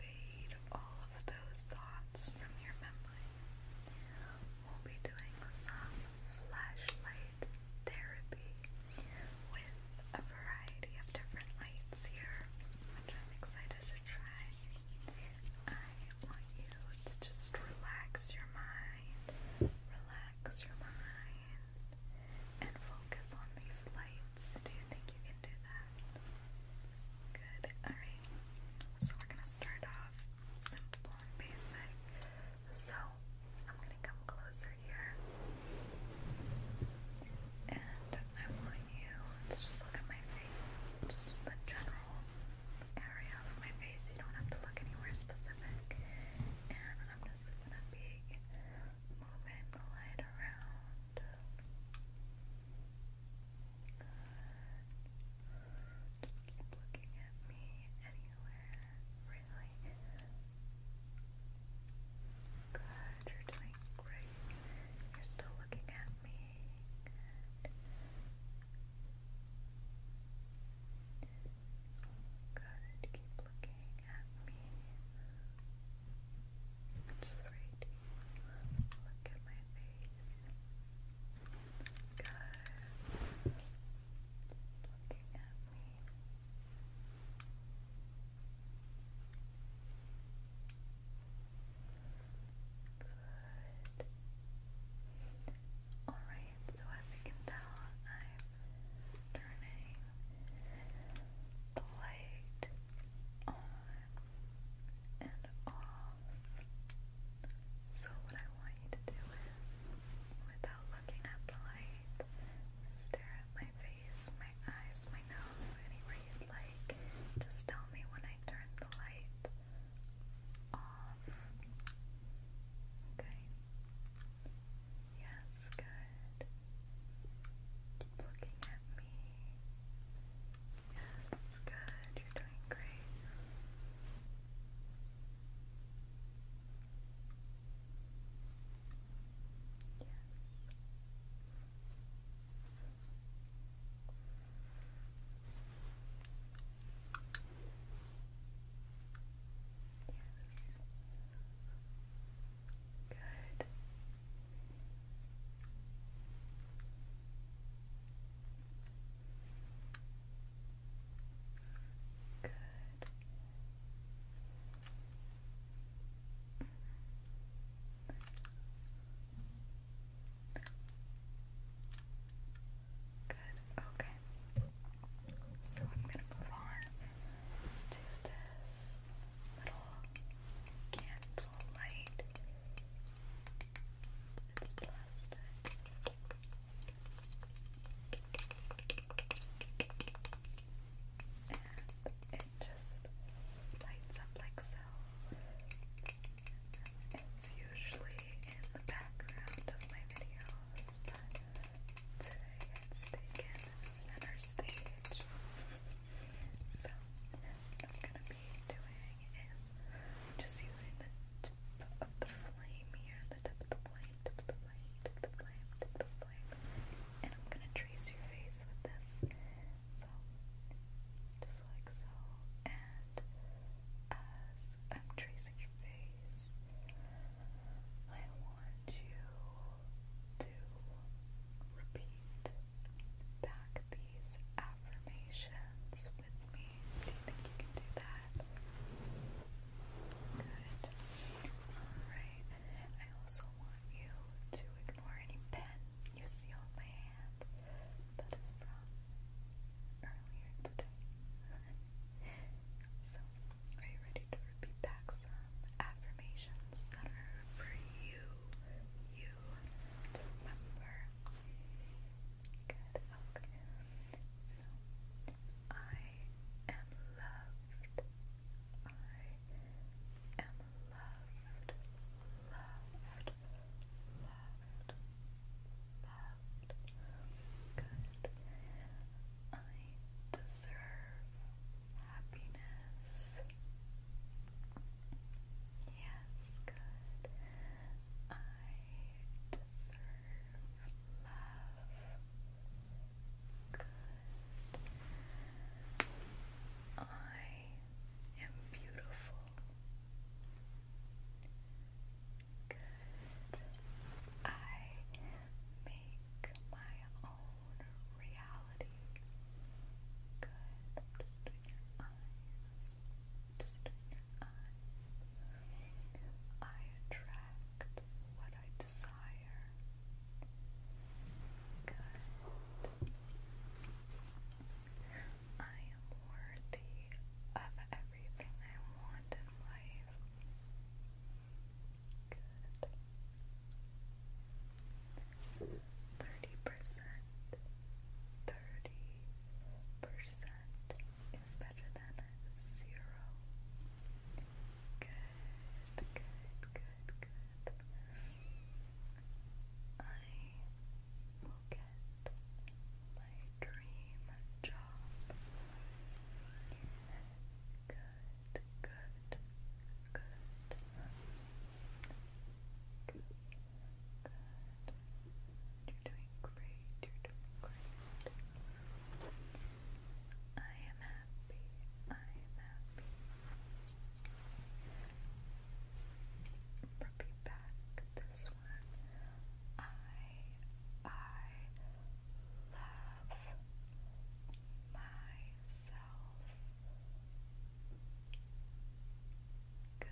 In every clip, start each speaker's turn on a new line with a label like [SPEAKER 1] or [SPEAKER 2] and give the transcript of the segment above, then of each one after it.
[SPEAKER 1] Fade all of those thoughts from your memory. We'll be doing some flashlight therapy with a variety of different lights here, which I'm excited to try. I want you to just relax your mind, relax your mind, and focus on these lights minutes. Do you think you can do that? Good. Alright. So we're gonna start off simple and basic. So I'm gonna come closer here. And I want you to just look at my face. Just the general area of my face. You don't have to look anywhere specific. And I'm just gonna be moving the light around Good. Just keep looking at me anywhere, really. Good, you're doing great. You're still looking at me. Good. Good, keep looking at me. Good. Just right here. Look at my face. Good. Looking at me. Good. Alright, so as you can tell, I'm turning the light on and off. So, what I want you to do is, without looking at the light, stare at my face, my eyes, my nose, anywhere you'd like. Just tell me when I turn the light off. Okay? Yes, good. Keep looking at me. Yes, good. You're doing great. Yes. Yes. Good. Good. Good. Okay. So I'm going to move on to this this little candle light. plastic. And it just lights up like so. It's usually in the background of my videos, but today it's taken center stage. So, what I'm going to be doing is just using the tip of the flame here, the tip of the flame, the flame, the flame, the flame, and I'm going to trace your face with this. So, just like so, and as I'm tracing your face, I want you to repeat back these affirmations with me. Do you think you can do that? Good. Alright. I also want you to ignore any pen you see on my hand that is from earlier today. so are you ready to repeat back some affirmations that are for you, you remember? Good, okay. So, I am loved. I am loved, loved, loved, loved. Good. I deserve happiness. Yes, good. I deserve love. Good. I am beautiful. Good. I make my own reality. Good. i just I attract what I desire. Good. I am worthy of everything I want in life. Good. Thirty percent. Thirty percent is better than zero. Good, good, good, good. I will get my dream job. Good good, good, good, good. You're doing great, you're doing great. I am happy, I am happy. Repeat back this one. I, I, love myself. Good.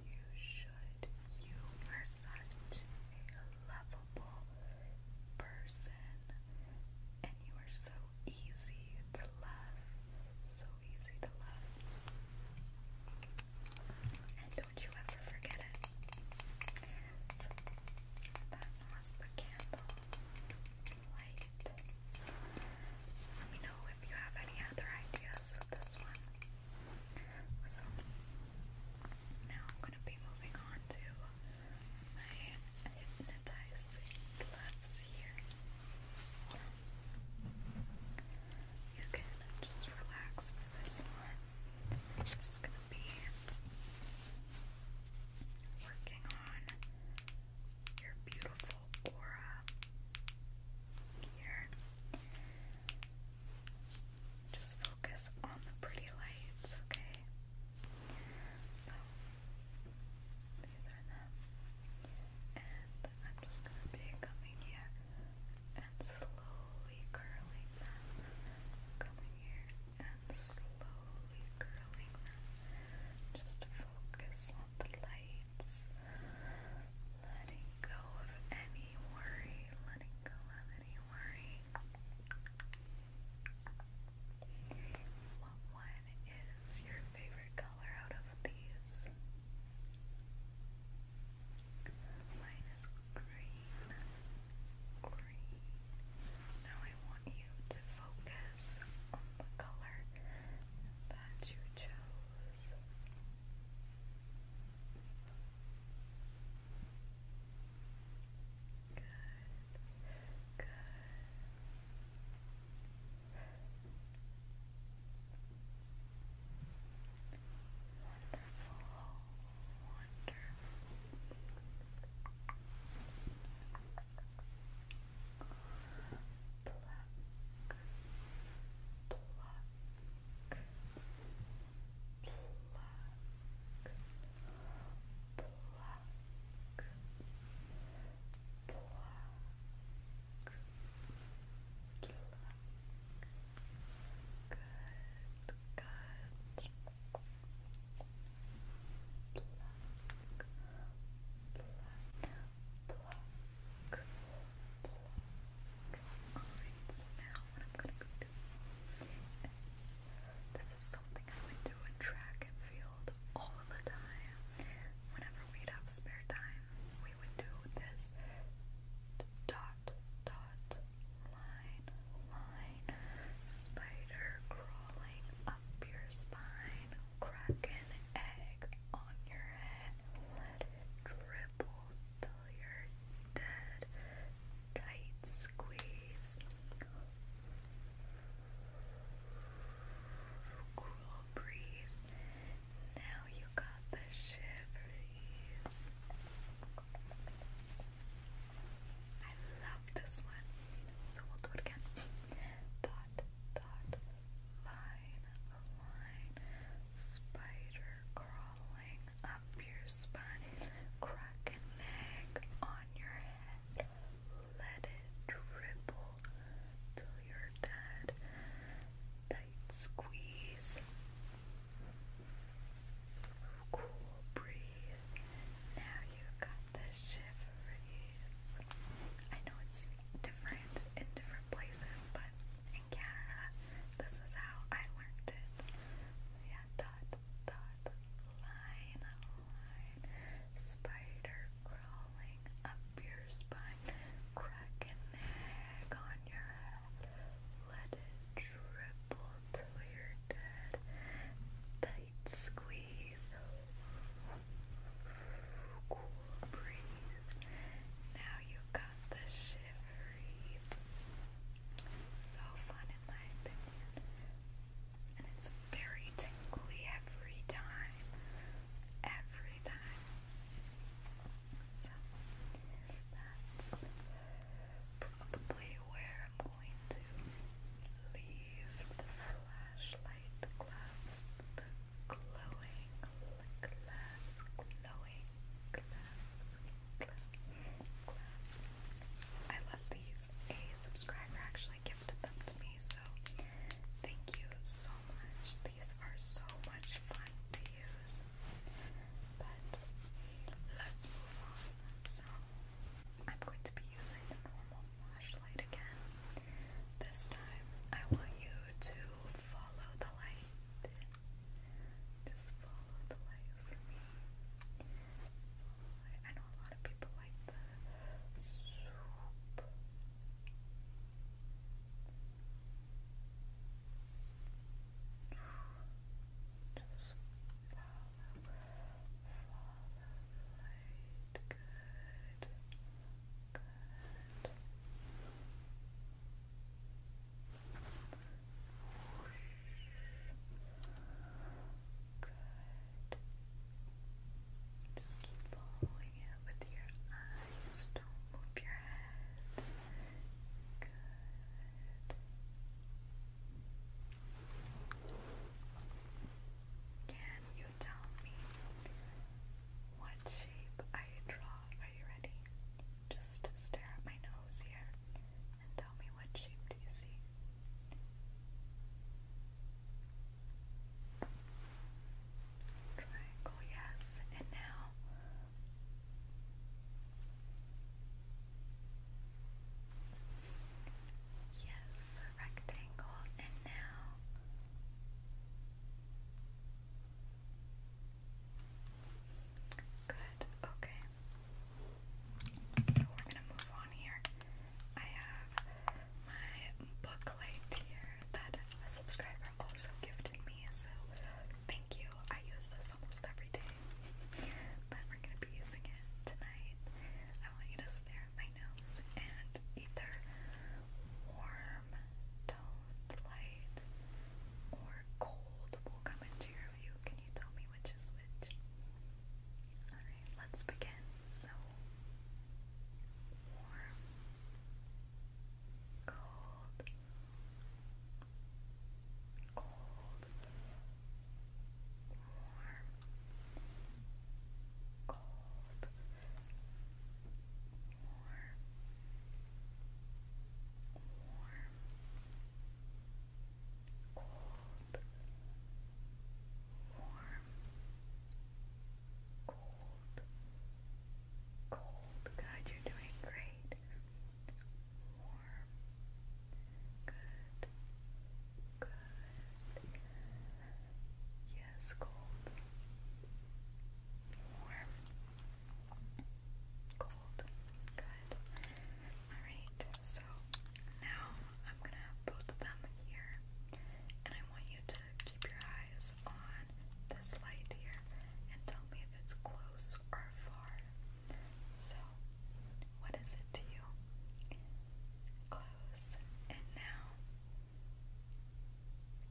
[SPEAKER 1] you should. You are such a lovable person. And you are so easy to love. So easy to love. And don't you ever forget it. So, that was the candle light. Let me know if you have any other ideas with this one. So, now I'm going to be moving on to my hypnotizing gloves here. you can just relax for this one. I'm just gonna be working on your beautiful aura here. Just focus on the pretty lights, okay? So these are them. And I'm just gonna be coming here and slowly curling them, coming here and slowly curling them. Just focus on the lights, letting go of any worry, letting go of any worry. What one is your favorite color out of these? Mine is green. Green. Now I want you to focus on the color that you chose. Good. Good. Wonderful, wonderful. Pluck, pluck, pluck, pluck. Pluck, Good, good. Pluck, pluck, pluck, pluck. Alright, so now what I'm gonna be doing is this is something I would do in track and field all the time whenever we have spare time dot, dot, line, line, spider crawling up your spine, cracking egg on your head, let it you're dead, tight squeeze. Cool breeze, now you got the shiveries. I love this one. So we'll do it again. Dot, dot, line, line, spider crawling up your spine, crack an on your head, let it dribble till you're dead squeeze, cool breeze. Now you've got the shiveries. I know it's different in different places, but in Canada, this is how I learned it. dot, dot, line, line, spider crawling up your spine crack an egg on your head. Let it dribble till you're dead. Tight squeeze. Cool breeze. Now you got the shiveries. So fun in my opinion. And it's very tingly every time every time. So that's probably where I'm going to leave the flashlight gloves, the glowing gloves, glowing gloves, gloves. I love these. A subscriber actually gifted them to me, so Thank you so much. These are so much fun to use. But let's move on. So, I'm going to be using the normal flashlight again. This time, I want you to follow the light. Just follow the light for me. I know a lot of people like the swoop. Just follow, follow the light. Good, good. Good. Just keep following it with your eyes. Don't move your head. Good. Can you tell me what shape I draw? Are you ready? Just stare at my nose here and tell me what shape do you see? Triangle, yes. And now Yes, rectangle, and now Good, okay. So we're gonna move on here. I have my booklet here that a subscriber also gifted me, so thank you. I use this almost every day, but we're gonna be using it tonight. I want you to stare at my nose and either warm, toned light or cold will come into your view. Can you tell me which is which? Alright, let's begin again so warm, cold, cold, warm, cold, warm, warm, cold, warm, cold, warm, cold, cold, good, you're doing great, warm, good, good, yes, cold, warm, cold, good, alright, so now I'm gonna have both of them here, and I want you to keep your eyes on this light here and tell me if it's close or far. So, what is it to you? Close, and now.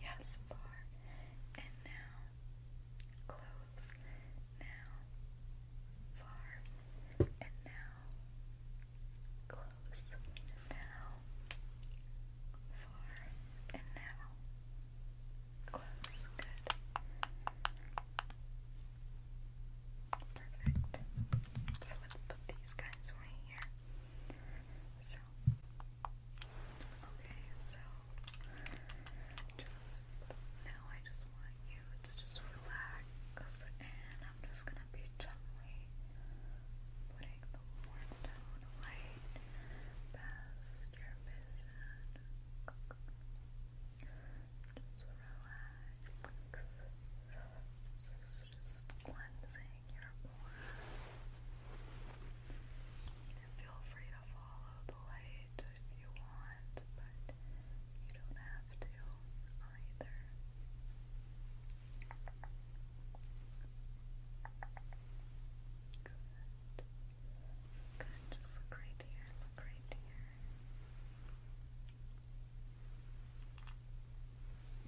[SPEAKER 1] Yes, far, and now. Close, now. Far, and now. Close now. Far and now. Close. Good. Perfect. So let's put these guys right here. So okay, so just now I just want you to just relax and I'm just gonna gonna be gently putting the warm tone light past your vision. Just relax. This is just cleansing your aura. feel free to follow the light if you want, but you don't have to either. Good. Good. Just look here. Look here.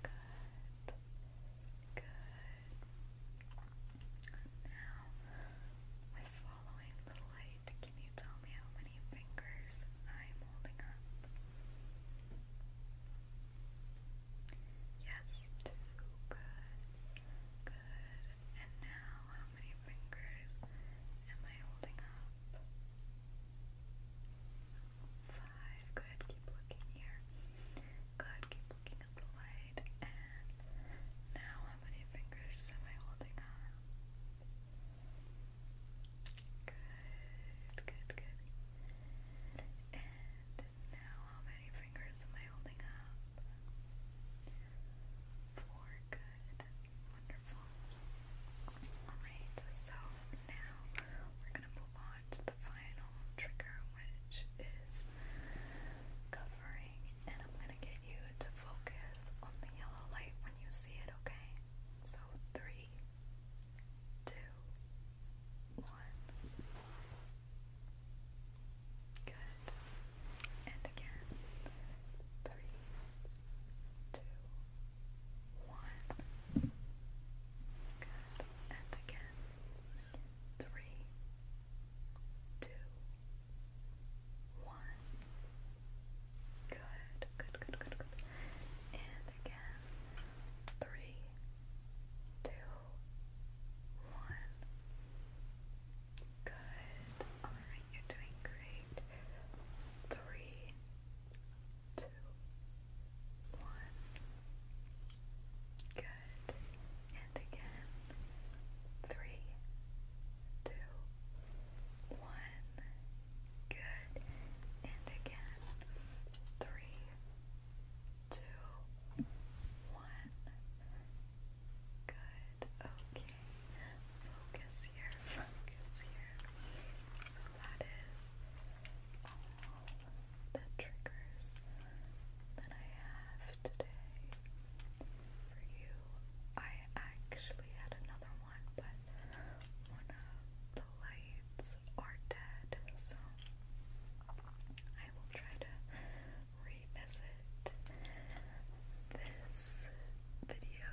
[SPEAKER 1] Good. Good. Now, with following the light, can you tell me how many fingers I Yes, Good. Good. And now, how many fingers am I holding up? Five. Good. Keep looking here. Good. Keep looking at the light. And now, how many fingers am I holding up? Good, good, good. And now, how many fingers am I holding up? Four, good. Wonderful. Alright, so now we're going to move on to the final trigger, which is covering. And I'm going to get you to focus on the yellow light when you see it, okay? so three, two, one. Good. And again, three, two, one. Good. And again, three, two, one. Good, good, good, good, good. And again, three, two, one. Good. Alright, you're doing great. Three, two, one. Good. And again, three, two, one. Good. And again. Three, two, one. Good. Okay. Focus here. Focus here. So that is all the triggers that I have today for you. I actually had another one, but one of the lights are dead, so I will try to revisit this video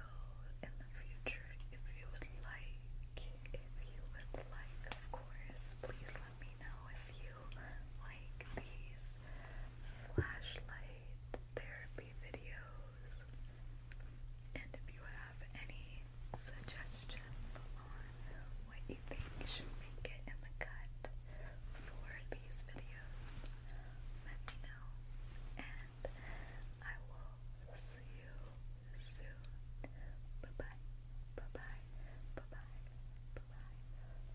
[SPEAKER 1] in the future if you would like. If you would like, of course, please let me know if you like these flashlight therapy videos those. And if you have any suggestions on what you think should make it in the cut for these videos, let me know. And I will see you soon. Bye bye. Bye bye. Bye bye. Bye bye.